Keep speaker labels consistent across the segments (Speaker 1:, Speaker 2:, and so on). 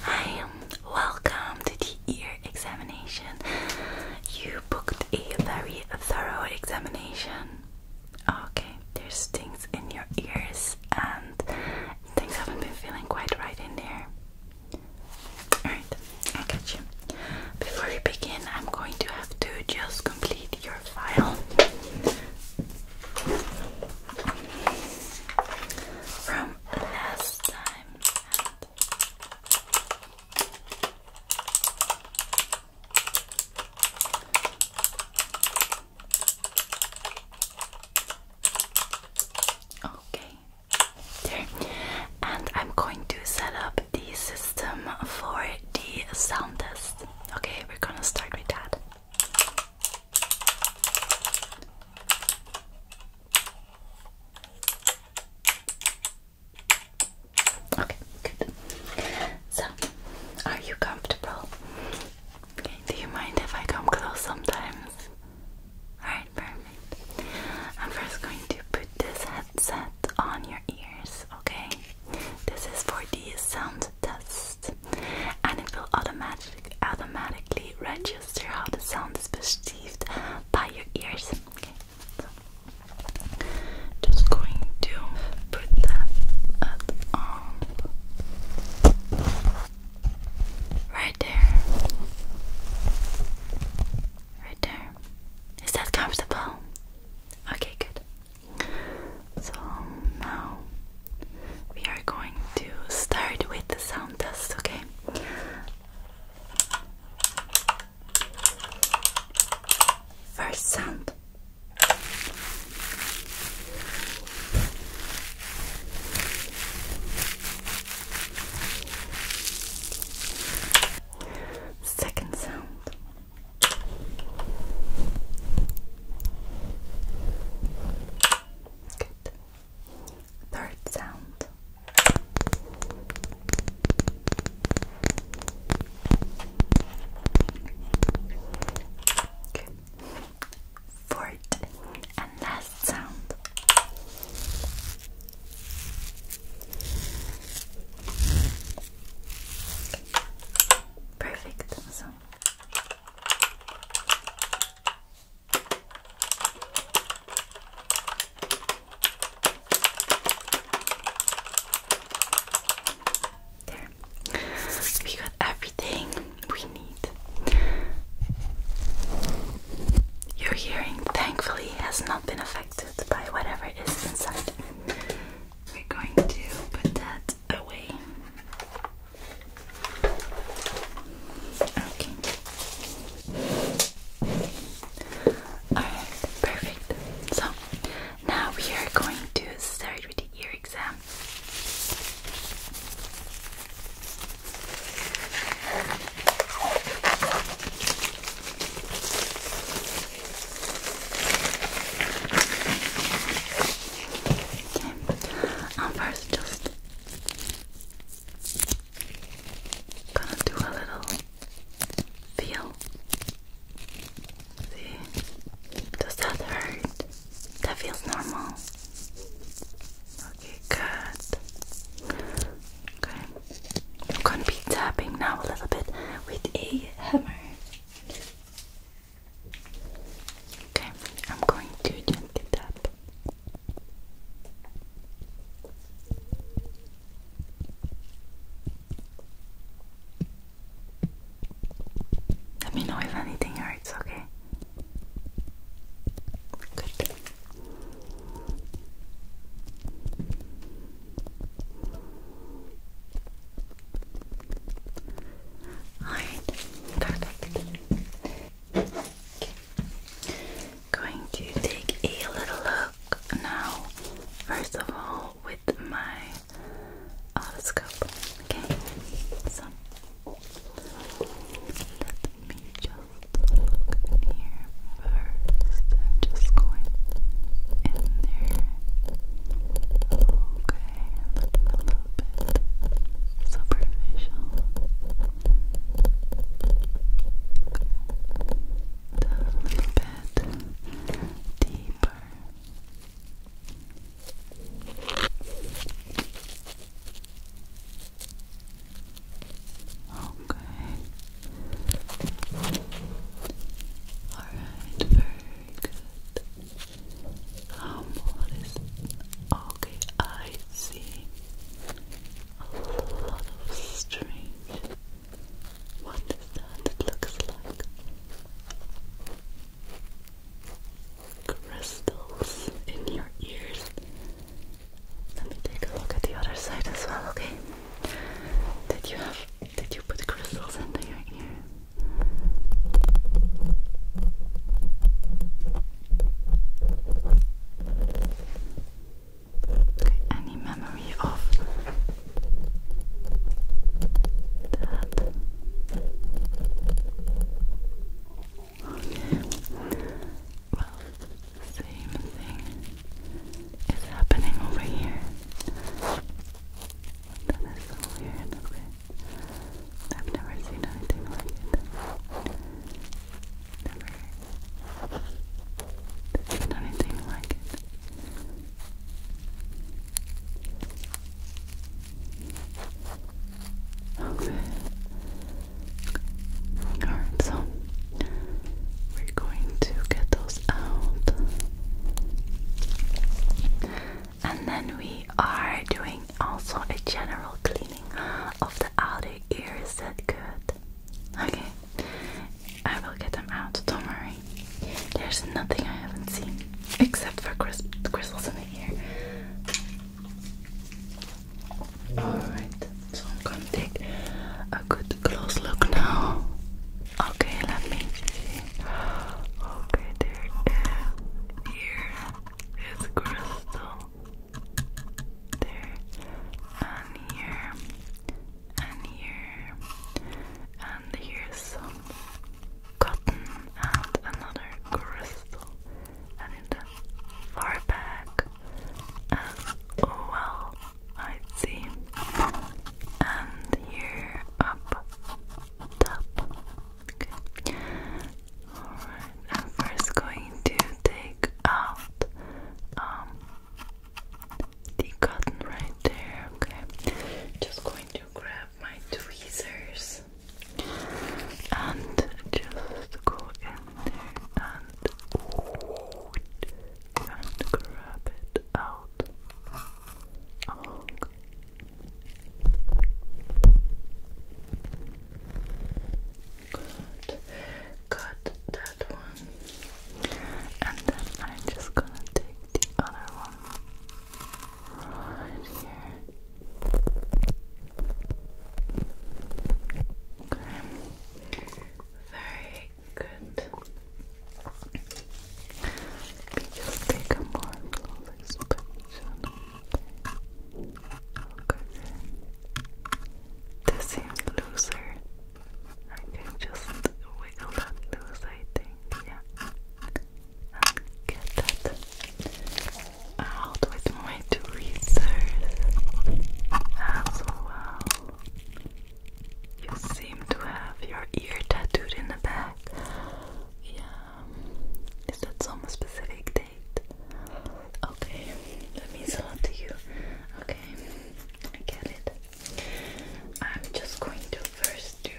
Speaker 1: Hi, welcome to the ear examination. You booked a very thorough examination. Okay, there's things in your ears, and things haven't been feeling quite right in there. Alright, I got you. Before we begin, I'm going to have to just complete your file from last time. okay, there. And I'm going to set up the system for the sound test. Okay, we're gonna start with that. Okay, good. So, are you comfortable? Okay, do you mind if I come close sometimes? Alright, perfect. I'm first going to put this headset on your ears, okay? This is for the sound test and it will automatic, automatically register how the sound is perceived by your ears. just going to put that on right there. Right there. Is that comfortable? Okay, good. So now we are going to start with the sound test, okay? First sound. Second sound. Third sound. Fourth and last sound. Perfect awesome. There. We got everything we need. Your hearing, thankfully, has not been affected by whatever is inside. We're going to put that Okay. perfect. So now we are going to start with the ear exam. Okay, I'm first just gonna do a little feel. See? Does that hurt? That feels normal. Okay, good. Okay. I'm gonna be tapping now a little bit with a hammer. Okay, I'm going to gently tap. Let me know if anything hurts, okay? Good. Alright, perfect. Going to take a little look now, first of all, with my otoscope. Okay, let me just look in here 1st just going in there. Okay let's a little bit superficial. a little bit deeper. Okay. All right, very good. Um, what is okay? I see a lot of strange. What is that? It like crystals in your ears. Let me take a look at the other side as well. Okay. Did you have? Did you put crystals into your ear? Okay, any memory of that? Well, same thing is happening over here. That is so weird, okay? I've never seen anything like it. Never seen anything like it. Okay. Alright, so we're going to get those out and then we are doing also a general cleaning of the outer ears that could. Okay, I will get them out. Don't worry. There's nothing I haven't seen except for crisp crystals in the ear. Alright, so I'm gonna take a good close look now. Okay, let me see. Okay, there here is crystal. There and here and here and here's some cotton and another crystal and in the far back as well I see and here up Alright, I'm first going to take out um, the cotton right there. Okay. Just going to grab my tweezers and just go in there and oh, and grab it out. Oh, Good. Cut that one. And then I'm just gonna take the other one here. Very good. We just take a more flawless picture. Okay. This seems looser. I can just wiggle that loose, I think. Yeah. get that out with my tweezers as You seem to have your ear tattooed in the back. Yeah. Is that some specific date? Okay, that means a lot to you. Okay, I get it. I'm just going to first do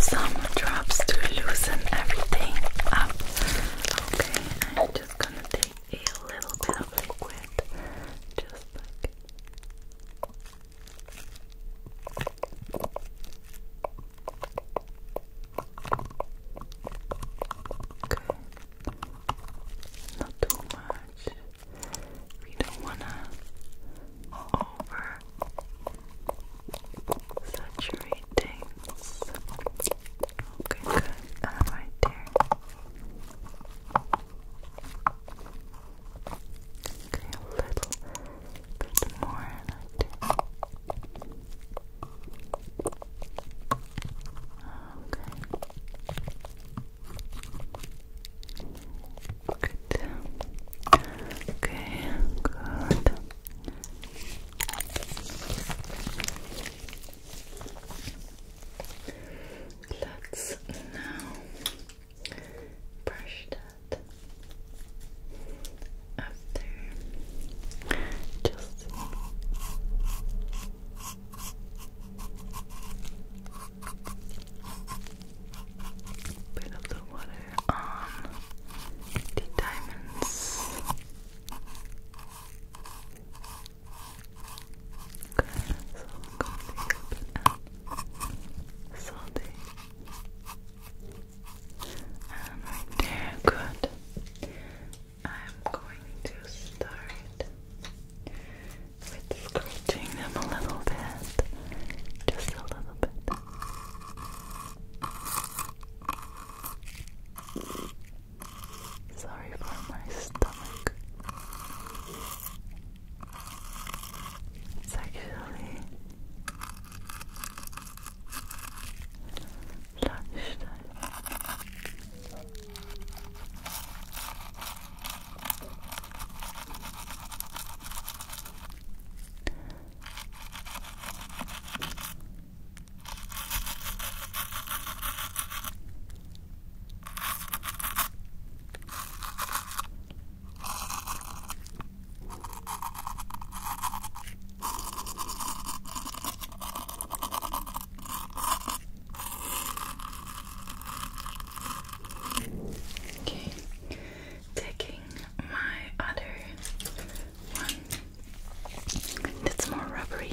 Speaker 1: some drops to loosen everything up. Okay, I'm just gonna take a little bit of liquid, just like Okay. Not too much. We don't wanna over saturate things. Okay, good. right there. Okay, a little bit more Okay. Good. Okay, good. Let's now brush that after just a bit water on the diamonds. Okay, so I'm going to take a salty. And right there, good. I'm going to start with scratching them a little bit, just a little bit. Sorry for my stomach. It's actually lunchtime. Okay, taking my other one that's more rubbery.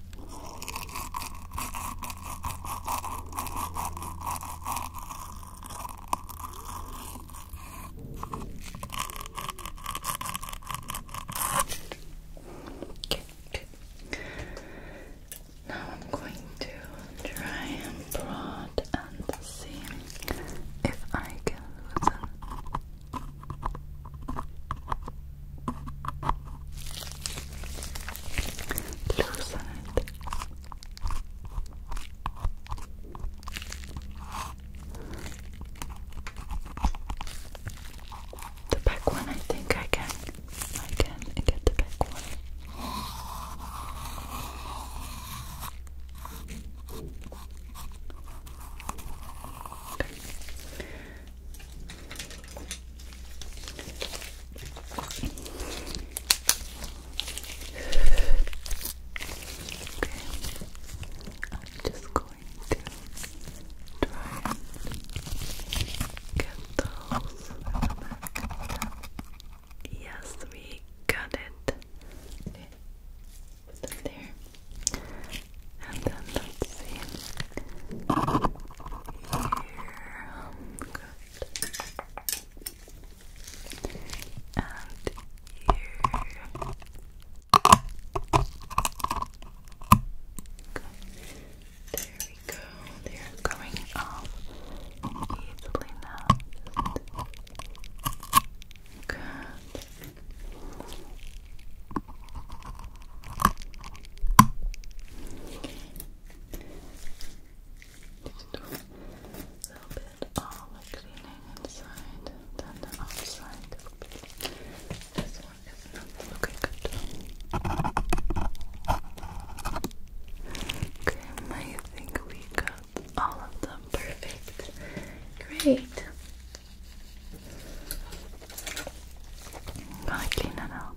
Speaker 1: Okay, good. Now I'm going to try and prod and see if I can loosen. Loosen it. The back one, I think I can. I can get the back one. I'm just going to try and get those Yes, we got it. there. And then let's Here. Um, and here. There we go. They're going off easily now. Just just a little bit all cleaning inside, then the outside. This one is looking good. Okay, I think we got all of them perfect. Great. i clean it out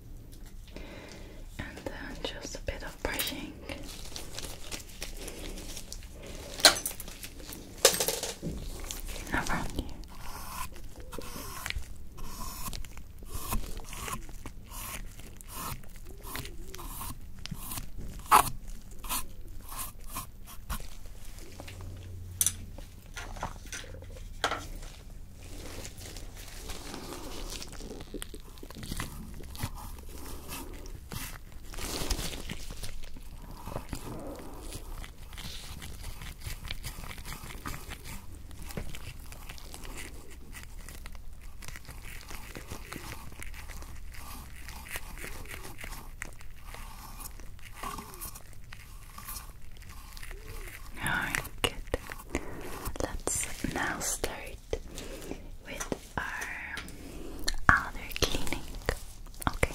Speaker 1: and then just a bit of brushing. Around you. Alright, good. Let's now start with our other cleaning. Okay.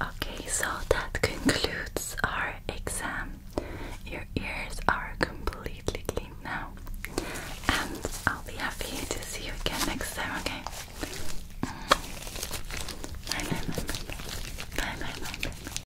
Speaker 1: Okay, so that concludes our exam. Your ears are completely clean now, and I'll be happy to see you again next time, okay? Mm. Bye bye, bye bye, bye bye, bye